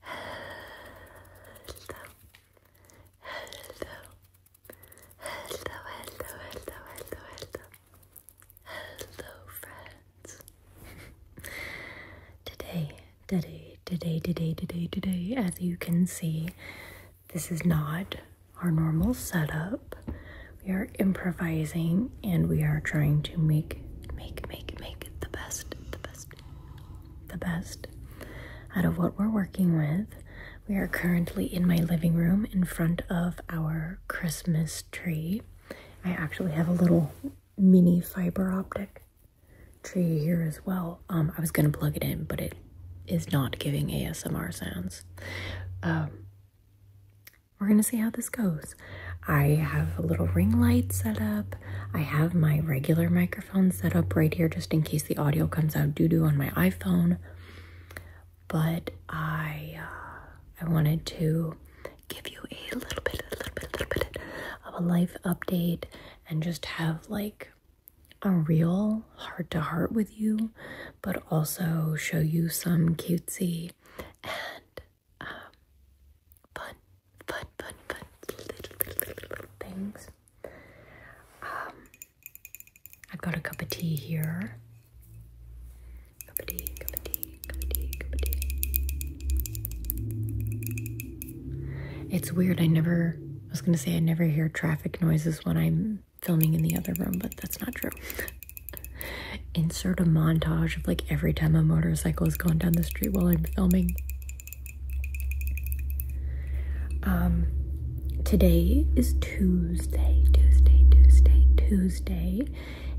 Hello, hello, hello, hello, hello, hello, hello, hello, friends. today, today, today, today, today, today, as you can see, this is not our normal setup. We are improvising and we are trying to make, make, make, make the best, the best, the best out of what we're working with. We are currently in my living room in front of our Christmas tree. I actually have a little mini fiber optic tree here as well. Um, I was gonna plug it in, but it is not giving ASMR sounds. Um, we're gonna see how this goes. I have a little ring light set up. I have my regular microphone set up right here just in case the audio comes out doo doo on my iPhone. But I, uh, I wanted to give you a little bit, a little bit, a little bit of a life update and just have like a real heart to heart with you, but also show you some cutesy and um, fun, fun, fun, fun little, little, little, little things. Um, I've got a cup of tea here. Cup of tea, cup of tea, cup of tea, cup of tea. It's weird. I never. I was gonna say I never hear traffic noises when I'm filming in the other room, but that's not true. Insert a montage of like every time a motorcycle is going down the street while I'm filming. Um, today is Tuesday, Tuesday, Tuesday, Tuesday,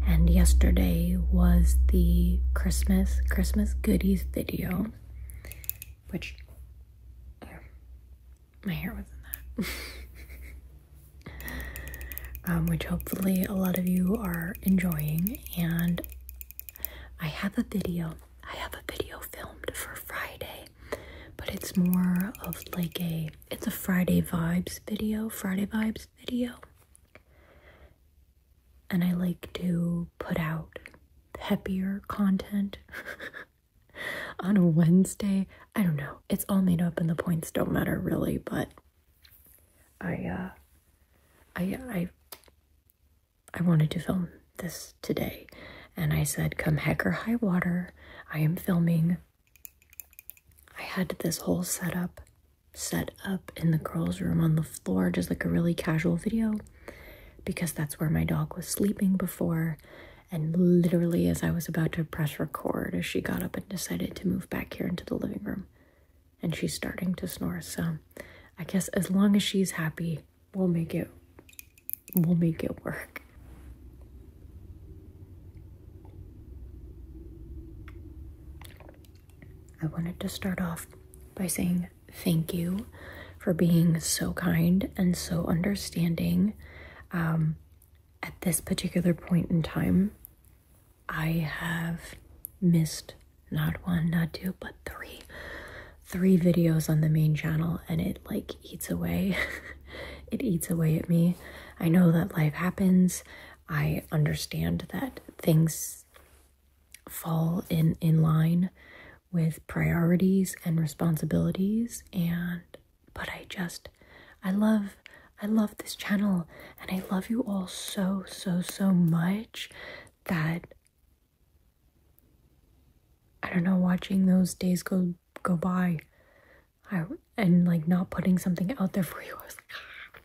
and yesterday was the Christmas, Christmas goodies video, which uh, my hair was in that. um, which hopefully a lot of you are enjoying, and I have a video. I have a video filmed for Friday, but it's more of like a it's a Friday vibes video, Friday vibes video. And I like to put out peppier content on a Wednesday. I don't know. It's all made up and the points don't matter really, but I uh I I I wanted to film this today. And I said, come heck or high water, I am filming. I had this whole setup set up in the girls' room on the floor, just like a really casual video, because that's where my dog was sleeping before. And literally, as I was about to press record, as she got up and decided to move back here into the living room, and she's starting to snore. So I guess as long as she's happy, we'll make it we'll make it work. I wanted to start off by saying thank you for being so kind and so understanding um, at this particular point in time I have missed not one, not two, but three three videos on the main channel and it like eats away. it eats away at me. I know that life happens. I understand that things fall in in line with priorities and responsibilities and but I just I love I love this channel and I love you all so so so much that I don't know watching those days go go by I, and like not putting something out there for you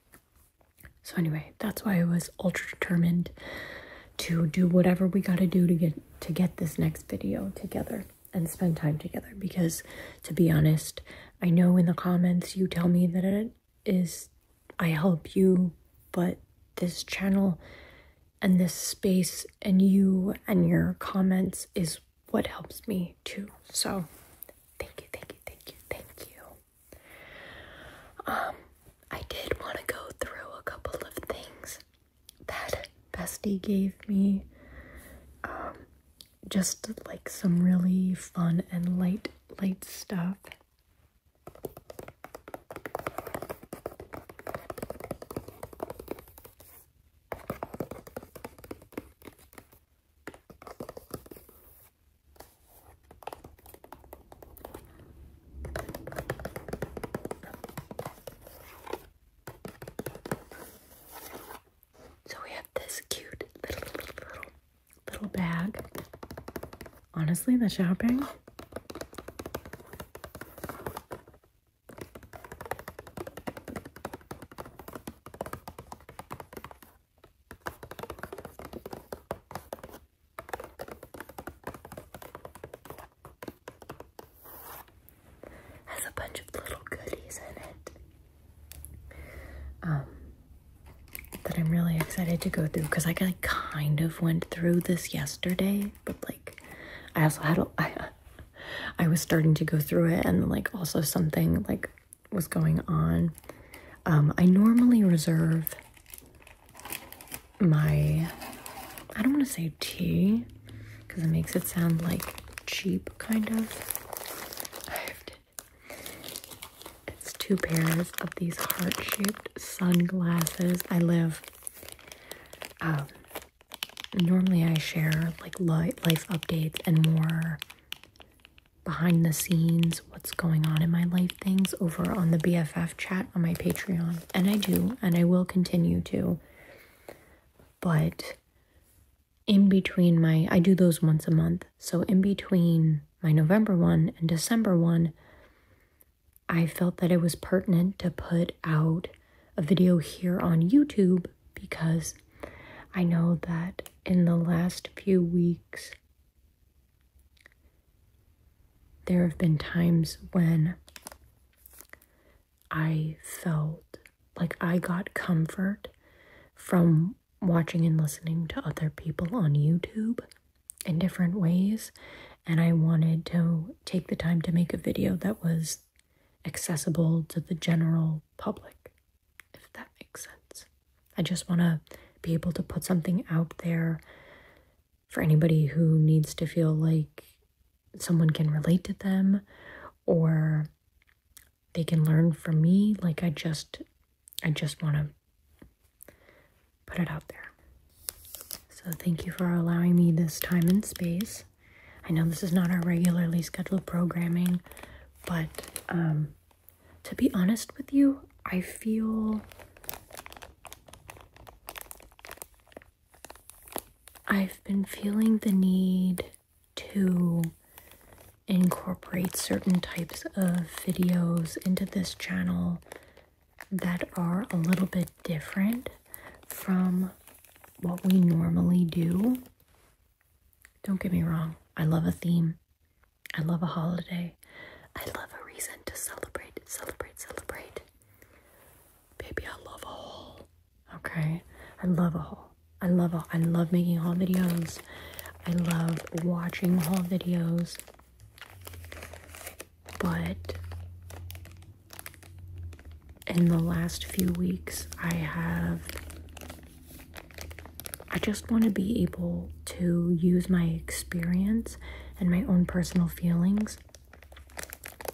so anyway that's why I was ultra determined to do whatever we got to do to get to get this next video together and spend time together because to be honest I know in the comments you tell me that it is I help you, but this channel and this space and you and your comments is what helps me too. So thank you, thank you, thank you, thank you. Um, I did want to go through a couple of things that Bestie gave me. Um, just like some really fun and light, light stuff. So we have this cute little little little bag. Honestly, the shopping has a bunch of little goodies in it. Um, that I'm really excited to go through because I kind of went through this yesterday, but like I also had a I was starting to go through it and like also something like was going on. Um, I normally reserve my, I don't want to say tea because it makes it sound like cheap kind of. It's two pairs of these heart-shaped sunglasses. I live, um, normally I share like life updates and more behind the scenes, what's going on in my life things over on the BFF chat on my Patreon. And I do, and I will continue to. But in between my, I do those once a month so, in between my November one and December one, I felt that it was pertinent to put out a video here on YouTube because I know that in the last few weeks, there have been times when I felt like I got comfort from watching and listening to other people on YouTube in different ways. And I wanted to take the time to make a video that was accessible to the general public, if that makes sense. I just want to be able to put something out there for anybody who needs to feel like someone can relate to them or they can learn from me. Like, I just I just want to put it out there. So thank you for allowing me this time and space. I know this is not our regularly scheduled programming, but um, to be honest with you, I feel I've been feeling the need to incorporate certain types of videos into this channel that are a little bit different from what we normally do. Don't get me wrong, I love a theme. I love a holiday. I love a reason to celebrate, celebrate, celebrate. Baby, I love a haul. Okay? I love a haul. I love a, I love making haul videos. I love watching haul videos, but in the last few weeks, I have. I just want to be able to use my experience and my own personal feelings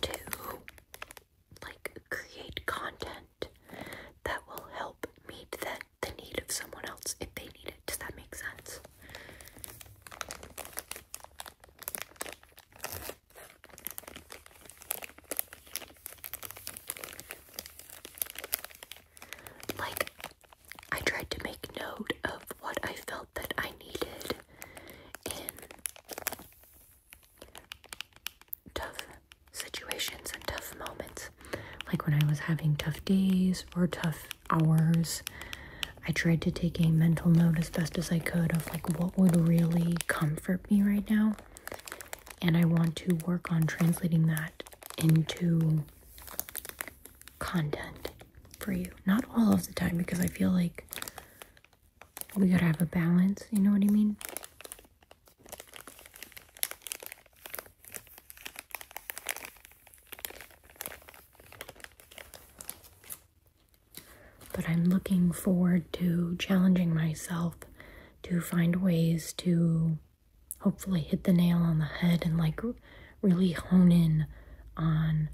to like create content that will help meet that the need of someone else if they need it. Does that make sense? Like, I tried to make note of what I felt that I needed in tough situations and tough moments. Like when I was having tough days or tough hours, I tried to take a mental note as best as I could of like what would really comfort me right now. And I want to work on translating that into content for you. Not all of the time because I feel like we gotta have a balance, you know what I mean? But I'm looking forward to challenging myself to find ways to hopefully hit the nail on the head and like really hone in on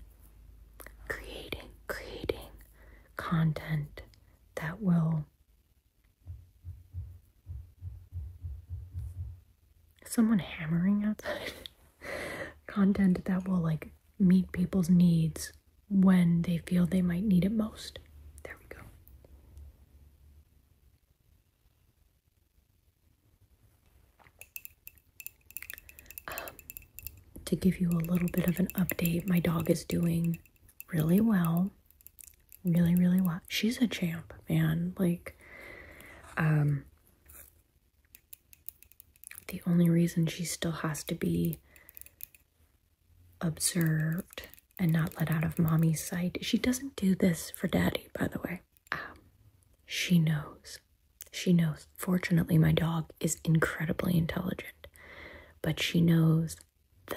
creating creating content that will someone hammering outside content that will like meet people's needs when they feel they might need it most. There we go. Um, to give you a little bit of an update, my dog is doing really well really, really what She's a champ, man. Like, um, the only reason she still has to be observed and not let out of mommy's sight, she doesn't do this for daddy, by the way. Um, she knows. She knows. Fortunately, my dog is incredibly intelligent, but she knows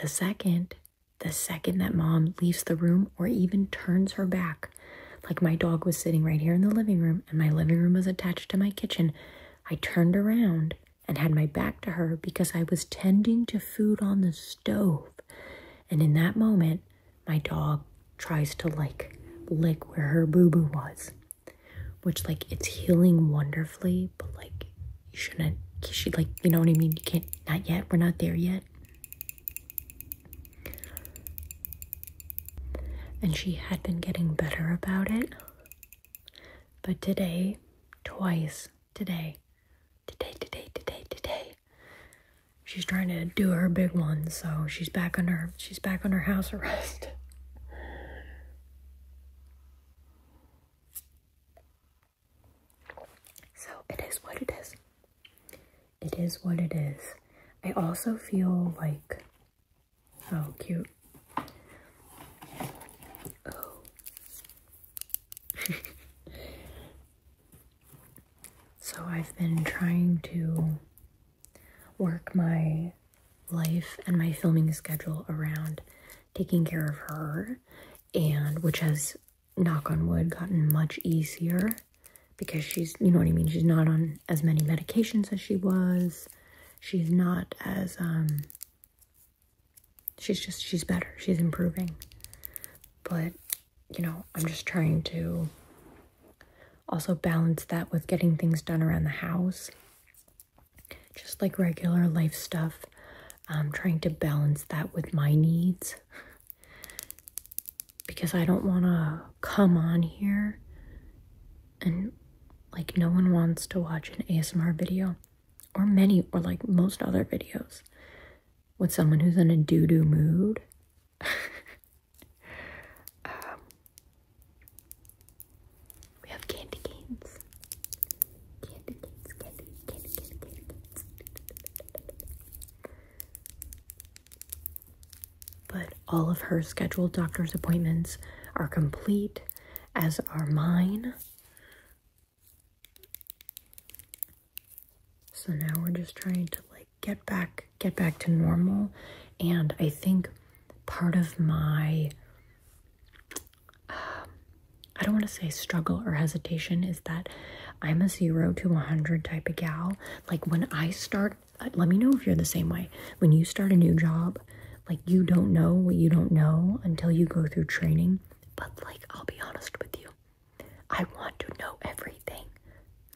the second the second that mom leaves the room or even turns her back, like my dog was sitting right here in the living room and my living room was attached to my kitchen, I turned around and had my back to her because I was tending to food on the stove. And in that moment, my dog tries to like lick where her boo boo was, which like it's healing wonderfully, but like you shouldn't. She like you know what I mean. You can't. Not yet. We're not there yet. And she had been getting better about it. But today, twice, today, today, today, today, today, she's trying to do her big one, so she's back on her she's back on her house arrest. So it is what it is. It is what it is. I also feel like, oh, cute. Oh. so I've been trying to work my life and my filming schedule around taking care of her and which has knock on wood, gotten much easier because she's, you know what I mean? She's not on as many medications as she was. She's not as, um, she's just, she's better. She's improving. But, you know, I'm just trying to also balance that with getting things done around the house. Just like regular life stuff. I'm um, trying to balance that with my needs because I don't want to come on here and like no one wants to watch an ASMR video or many or like most other videos with someone who's in a doo doo mood. Um, we have candy canes. Candy canes, candy, candy, candy canes. But all of her scheduled doctor's appointments are complete, as are mine. So now we're just trying to like get back get back to normal and I think part of my um, I don't want to say struggle or hesitation is that I'm a zero to 100 type of gal. Like when I start, uh, let me know if you're the same way. When you start a new job, like you don't know what you don't know until you go through training. But like, I'll be honest with you, I want to know everything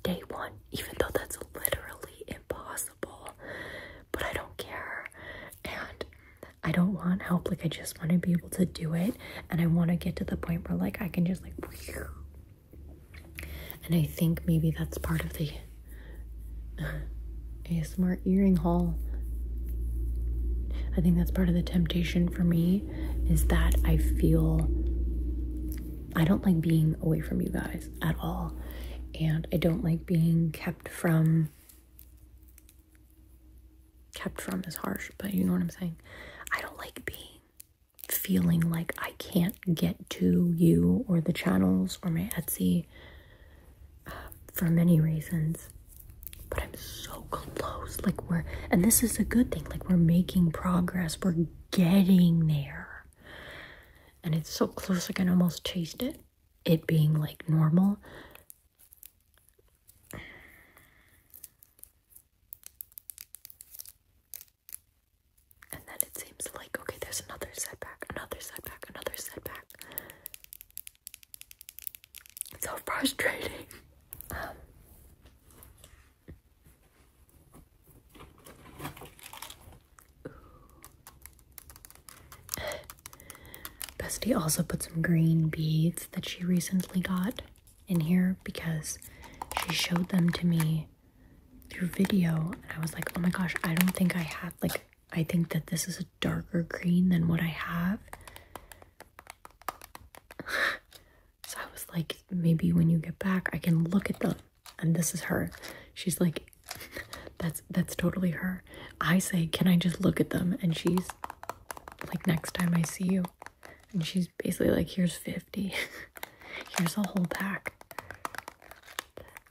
day one, even though that's literally impossible. But I don't care. And I don't want help. Like, I just want to be able to do it and I want to get to the point where like I can just like and I think maybe that's part of the ASMR earring haul. I think that's part of the temptation for me is that I feel I don't like being away from you guys at all. And I don't like being kept from kept from is harsh, but you know what I'm saying. I don't like being feeling like I can't get to you or the channels or my Etsy uh, for many reasons. But I'm so close. Like, we're, and this is a good thing, like, we're making progress, we're getting there. And it's so close, I can almost taste it, it being like normal. And then it seems like, okay, there's another setback, another setback, another setback. It's so frustrating. Um, Bestie also put some green beads that she recently got in here because she showed them to me through video and I was like, oh my gosh, I don't think I have like I think that this is a darker green than what I have. so I was like, maybe when you get back I can look at them. And this is her. She's like, that's that's totally her. I say, can I just look at them? And she's like next time I see you, and she's basically like, here's 50. here's a whole pack.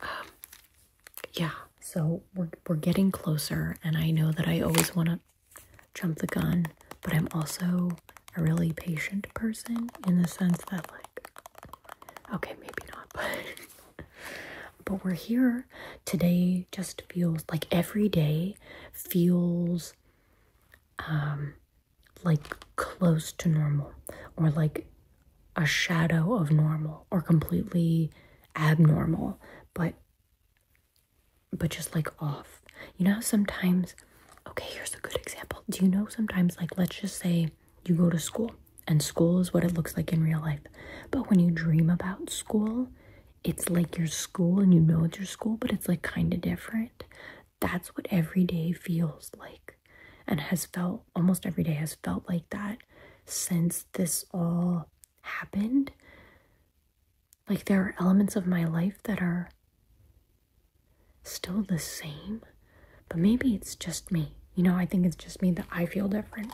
Um, yeah, so we're, we're getting closer. And I know that I always want to jump the gun. But I'm also a really patient person in the sense that like, okay, maybe not, but... but we're here. Today just feels like every day feels um, like close to normal or like a shadow of normal or completely abnormal but but just like off you know sometimes okay here's a good example do you know sometimes like let's just say you go to school and school is what it looks like in real life but when you dream about school it's like your school and you know it's your school, but it's like kind of different. That's what every day feels like and has felt almost every day has felt like that since this all happened. Like there are elements of my life that are still the same, but maybe it's just me. You know, I think it's just me that I feel different.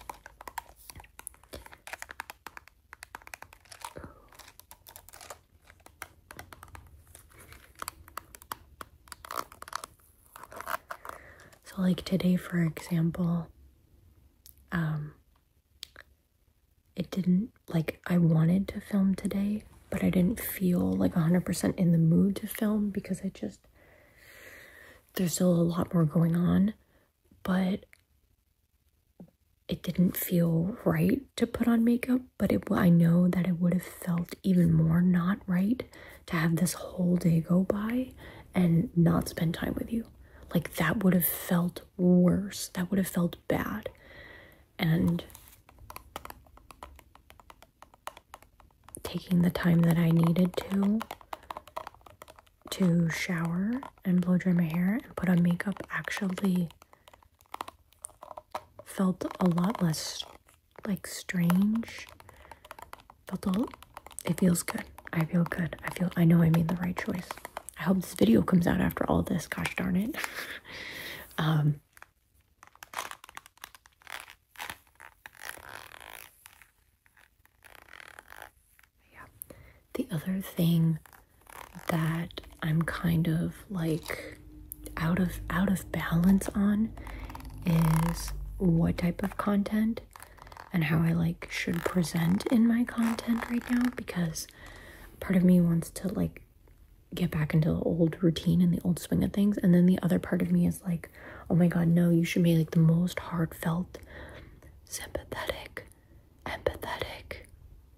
So, like today, for example, um, it didn't like I wanted to film today, but I didn't feel like 100% in the mood to film because I just there's still a lot more going on, but it didn't feel right to put on makeup, but it, I know that it would have felt even more not right to have this whole day go by and not spend time with you. Like that would have felt worse. That would have felt bad. And taking the time that I needed to to shower and blow dry my hair and put on makeup actually felt a lot less like strange. Felt a little, it feels good. I feel good. I feel I know I made the right choice. I hope this video comes out after all this. Gosh darn it. um yeah the other thing that I'm kind of like out of out of balance on is what type of content and how I like should present in my content right now because part of me wants to like get back into the old routine and the old swing of things and then the other part of me is like oh my god no you should be like the most heartfelt sympathetic empathetic,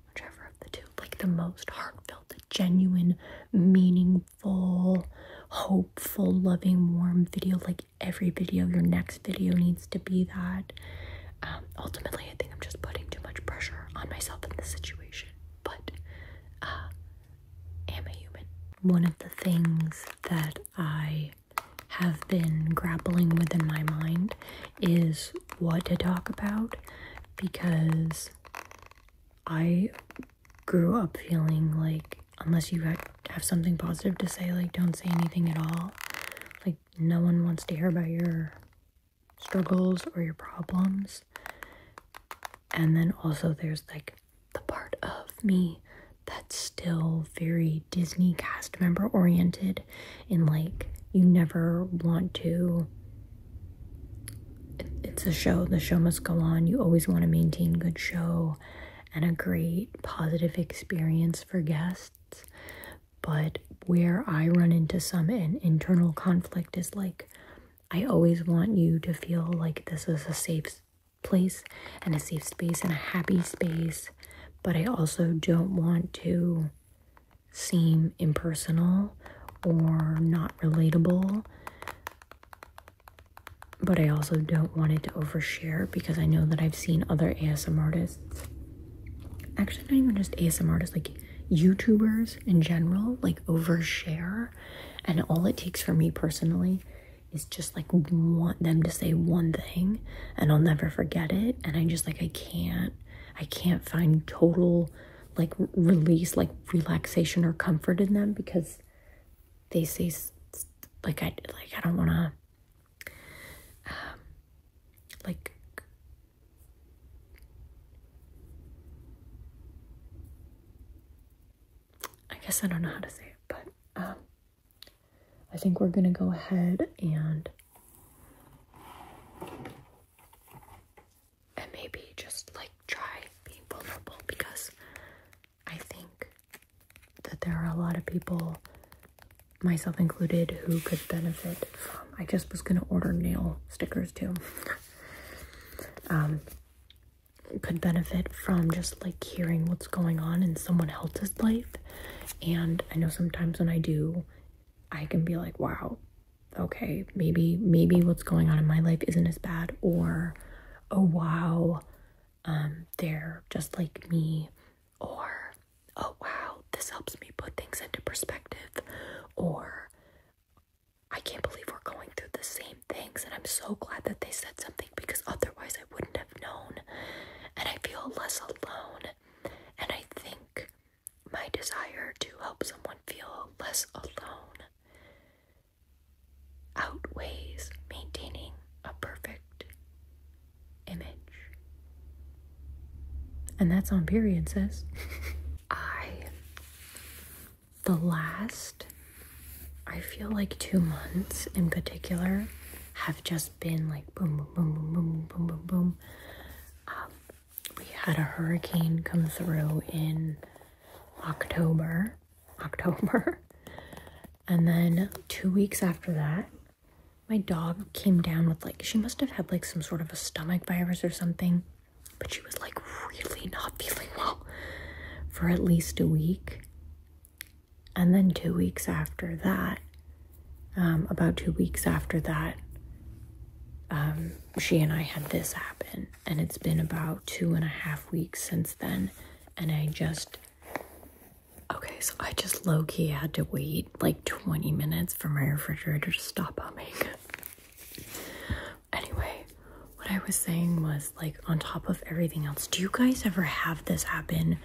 whichever of the two, like the most heartfelt, genuine, meaningful, hopeful, loving, warm video. Like every video, your next video needs to be that. Um, ultimately, I think I'm just putting too much pressure on myself in this situation, but uh, am a human. One of the things that I have been grappling with in my mind is what to talk about because I grew up feeling like unless you have something positive to say, like don't say anything at all. Like no one wants to hear about your struggles or your problems. And then also there's like the part of me that's still very Disney cast member oriented and like you never want to it's a show the show must go on you always want to maintain good show and a great positive experience for guests but where i run into some internal conflict is like i always want you to feel like this is a safe place and a safe space and a happy space but i also don't want to seem impersonal or not relatable. But I also don't want it to overshare because I know that I've seen other ASM artists, actually, not even just ASM artists, like YouTubers in general, like overshare. And all it takes for me personally is just like want them to say one thing and I'll never forget it. And I am just like, I can't I can't find total like release, like relaxation or comfort in them because they say like I like I don't want to um, like I guess I don't know how to say it, but um, I think we're gonna go ahead and and maybe just like try being vulnerable because I think that there are a lot of people, myself included, who could benefit from. I just was gonna order nail stickers too. um, could benefit from just like hearing what's going on in someone else's life. And I know sometimes when I do I can be like, wow, okay, maybe, maybe what's going on in my life isn't as bad, or oh wow, um, they're just like me, or oh wow, this helps me put things into perspective, or I can't believe we're going through the same things, and I'm so glad that they said something because otherwise I wouldn't have known, and I feel less alone, and I think my desire to help someone feel less alone outweighs maintaining a perfect image. And that's on period, sis. I, the last, I feel like two months in particular have just been like boom, boom, boom, boom, boom, boom, boom, boom. Um, we had a hurricane come through in October. October. And then two weeks after that, my dog came down with like, she must have had like some sort of a stomach virus or something, but she was like really not feeling well for at least a week. And then two weeks after that, um, about two weeks after that, um, she and I had this happen. And it's been about two and a half weeks since then. And I just, okay, so I just low key had to wait like 20 minutes for my refrigerator to stop humming. anyway, what I was saying was like, on top of everything else, do you guys ever have this happen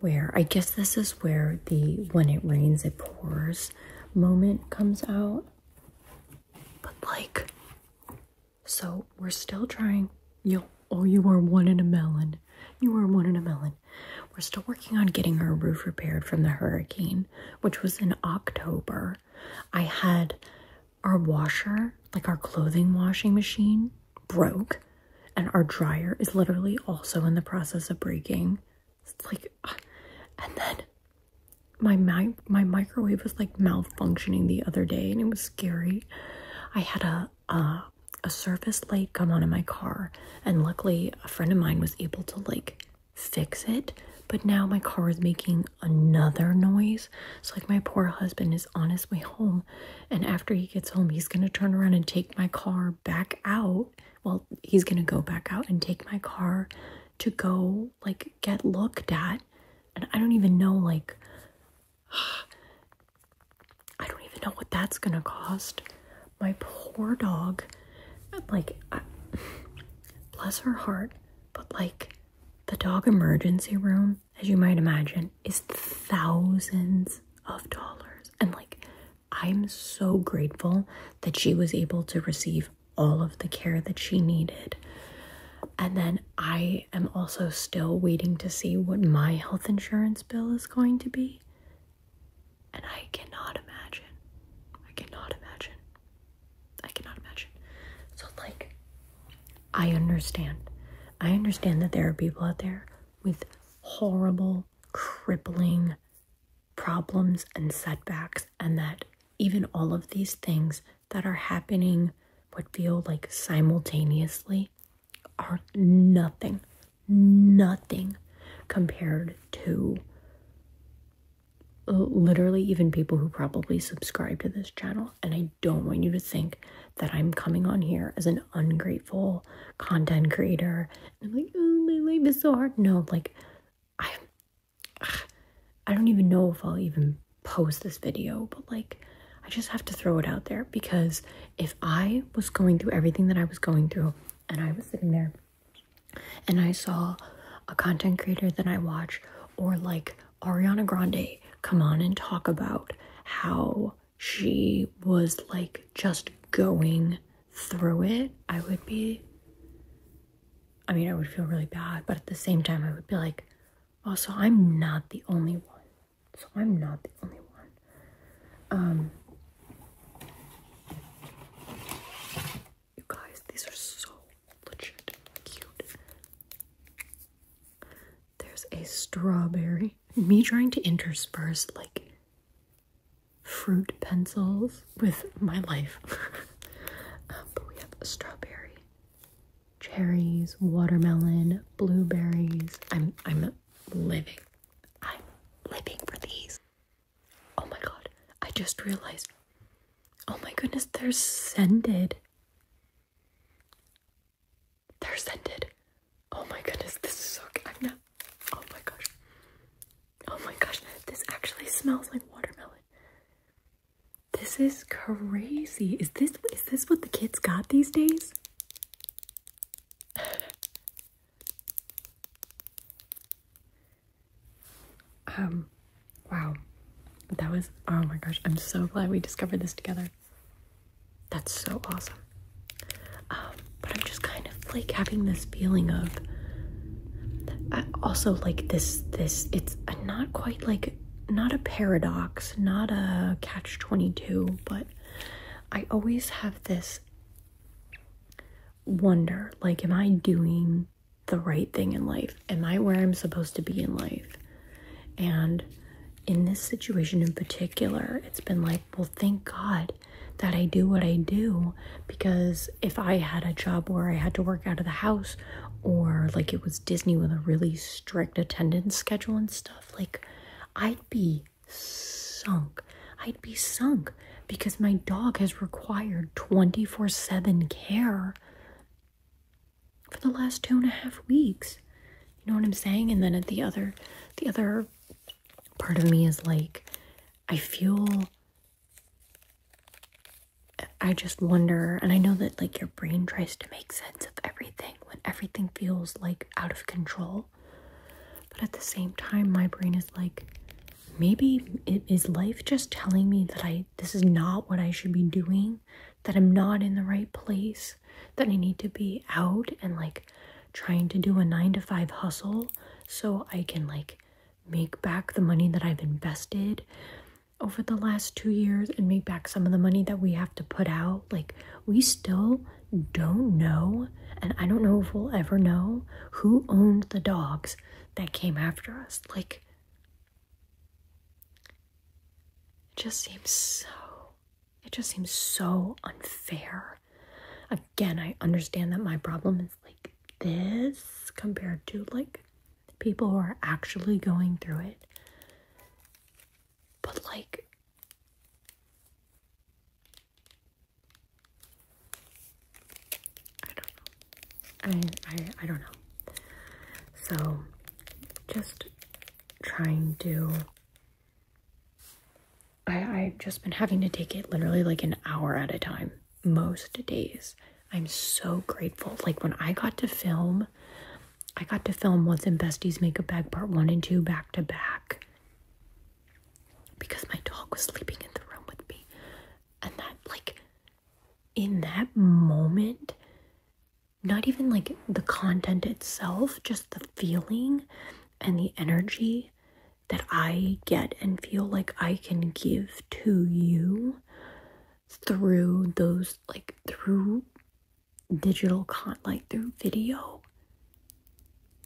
where I guess this is where the when it rains it pours moment comes out. But like so we're still trying you oh you are one in a melon. You are one in a melon. We're still working on getting our roof repaired from the hurricane, which was in October. I had our washer, like our clothing washing machine, broke, and our dryer is literally also in the process of breaking. It's like, uh, and then my my my microwave was like malfunctioning the other day, and it was scary. I had a uh, a service light come on in my car, and luckily a friend of mine was able to like fix it. But now my car is making another noise. So like my poor husband is on his way home, and after he gets home, he's gonna turn around and take my car back out well, he's gonna go back out and take my car to go like get looked at. And I don't even know, like, I don't even know what that's gonna cost. My poor dog, like, bless her heart, but like, the dog emergency room, as you might imagine, is thousands of dollars. And like, I'm so grateful that she was able to receive all of the care that she needed. And then I am also still waiting to see what my health insurance bill is going to be. And I cannot imagine. I cannot imagine. I cannot imagine. So, like, I understand. I understand that there are people out there with horrible, crippling problems and setbacks, and that even all of these things that are happening would feel like simultaneously are nothing, nothing compared to literally even people who probably subscribe to this channel. And I don't want you to think that I'm coming on here as an ungrateful content creator I'm like, oh, my life is so hard. No, like, I, I don't even know if I'll even post this video, but like, I just have to throw it out there because if I was going through everything that I was going through and I was sitting there and I saw a content creator that I watch or like Ariana Grande come on and talk about how she was like just going through it, I would be, I mean, I would feel really bad, but at the same time, I would be like, also, oh, I'm not the only one. So I'm not the only one. Um, you guys, these are so legit cute. There's a strawberry. Me trying to intersperse like fruit pencils with my life. Um, but we have strawberry, cherries, watermelon, blueberries. I'm I'm living. I'm living for these. Oh my god. I just realized. Oh my goodness, they're scented. They're scented. Oh my goodness, this is so Oh my gosh. Oh my gosh, this actually smells like watermelon. This is crazy. Is this is this what the kids got these days? um wow. That was oh my gosh, I'm so glad we discovered this together. That's so awesome. Um, but I'm just kind of like having this feeling of I also like this this it's not quite like not a paradox, not a catch 22, but I always have this wonder like am I doing the right thing in life? Am I where I'm supposed to be in life? And in this situation in particular, it's been like well, thank God that I do what I do because if I had a job where I had to work out of the house or like it was Disney with a really strict attendance schedule and stuff, like I'd be sunk. I'd be sunk because my dog has required 24 7 care for the last two and a half weeks. You know what I'm saying? And then at the other, the other part of me is like, I feel. I just wonder, and I know that like your brain tries to make sense of everything when everything feels like out of control. But at the same time, my brain is like, maybe it is life just telling me that I this is not what I should be doing, that I'm not in the right place, that I need to be out and like trying to do a 9 to 5 hustle so I can like make back the money that I've invested over the last 2 years and make back some of the money that we have to put out like we still don't know and I don't know if we'll ever know who owned the dogs that came after us like it just seems so it just seems so unfair. Again, I understand that my problem is like this compared to like people who are actually going through it. But like, I don't know. I, I, I don't know. So just trying to I, I've just been having to take it literally like an hour at a time most days. I'm so grateful. Like when I got to film, I got to film Once in Besties Makeup Bag Part 1 and 2 back to back because my dog was sleeping in the room with me. And that, like, in that moment, not even like the content itself, just the feeling and the energy that I get and feel like I can give to you through those like through digital con like through video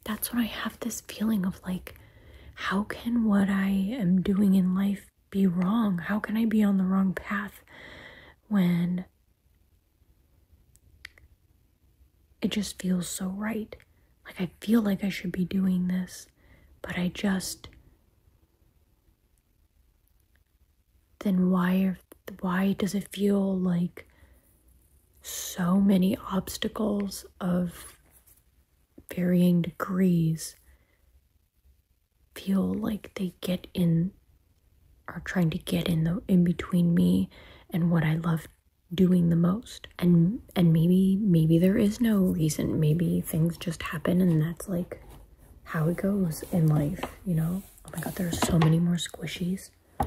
that's when I have this feeling of like how can what I am doing in life be wrong how can I be on the wrong path when it just feels so right. Like, I feel like I should be doing this, but I just. Then why, why does it feel like so many obstacles of varying degrees feel like they get in are trying to get in the in between me and what I love doing the most and and maybe maybe there is no reason maybe things just happen and that's like how it goes in life you know oh my god There are so many more squishies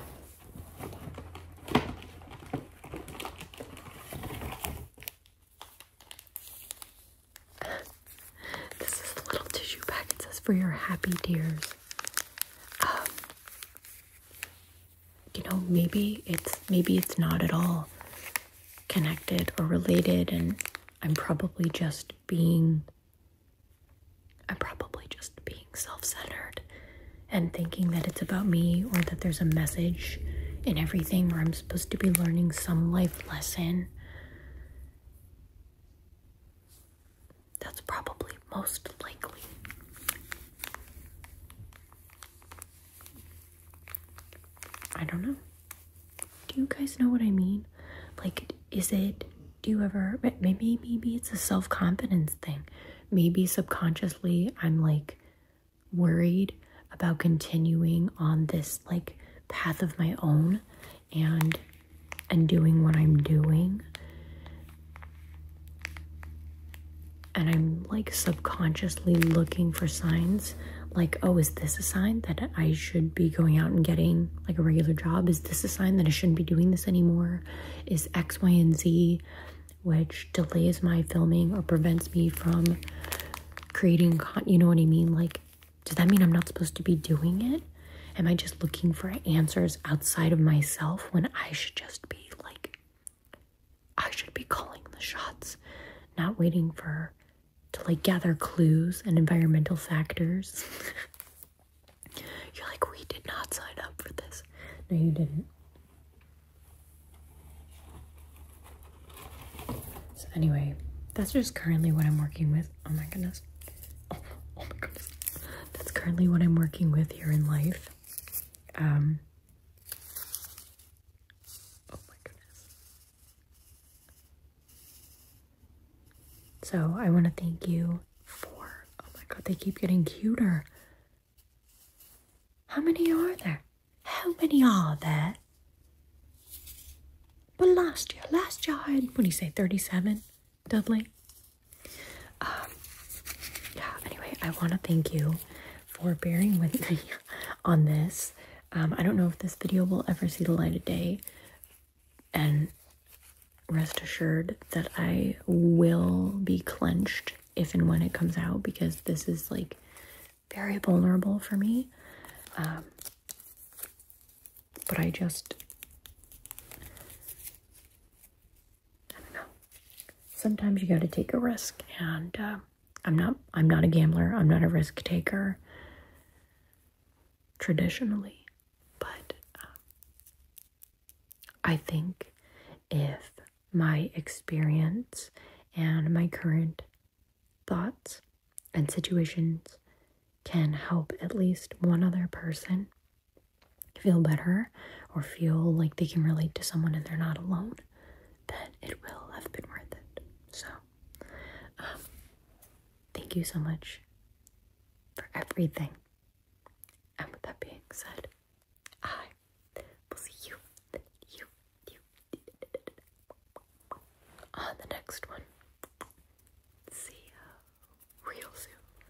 this is a little tissue pack it says for your happy tears um, you know maybe it's maybe it's not at all connected or related and i'm probably just being i'm probably just being self-centered and thinking that it's about me or that there's a message in everything where i'm supposed to be learning some life lesson that's probably most likely. I don't know. Do you guys know what I mean? Like, is it, do you ever, maybe, maybe it's a self confidence thing. Maybe subconsciously I'm like worried about continuing on this like path of my own and and doing what I'm doing and I'm like subconsciously looking for signs like, oh, is this a sign that I should be going out and getting like a regular job? Is this a sign that I shouldn't be doing this anymore? Is X, Y, and Z, which delays my filming or prevents me from creating con you know what I mean? Like, does that mean I'm not supposed to be doing it? Am I just looking for answers outside of myself when I should just be like I should be calling the shots, not waiting for to like gather clues and environmental factors. You're like, we did not sign up for this. No, you didn't. So anyway, that's just currently what I'm working with. Oh my goodness. Oh, my goodness. That's currently what I'm working with here in life. Um, oh my goodness. So I want to thank you for, oh my god, they keep getting cuter. How many are there? How many are there? But last year, last year I had, what you say, 37? Dudley. Um, yeah, anyway, I want to thank you for bearing with me on this. Um, I don't know if this video will ever see the light of day, and rest assured that I will be clenched if and when it comes out because this is like very vulnerable for me. Um, but I just I don't know. Sometimes you got to take a risk, and uh, I'm not. I'm not a gambler. I'm not a risk taker. Traditionally, but uh, I think if my experience and my current thoughts and situations can help at least one other person feel better or feel like they can relate to someone and they're not alone, then it will have been worth it. So, um, thank you so much for everything. And with that being said, I will see you, you, you on the next one. See ya real soon.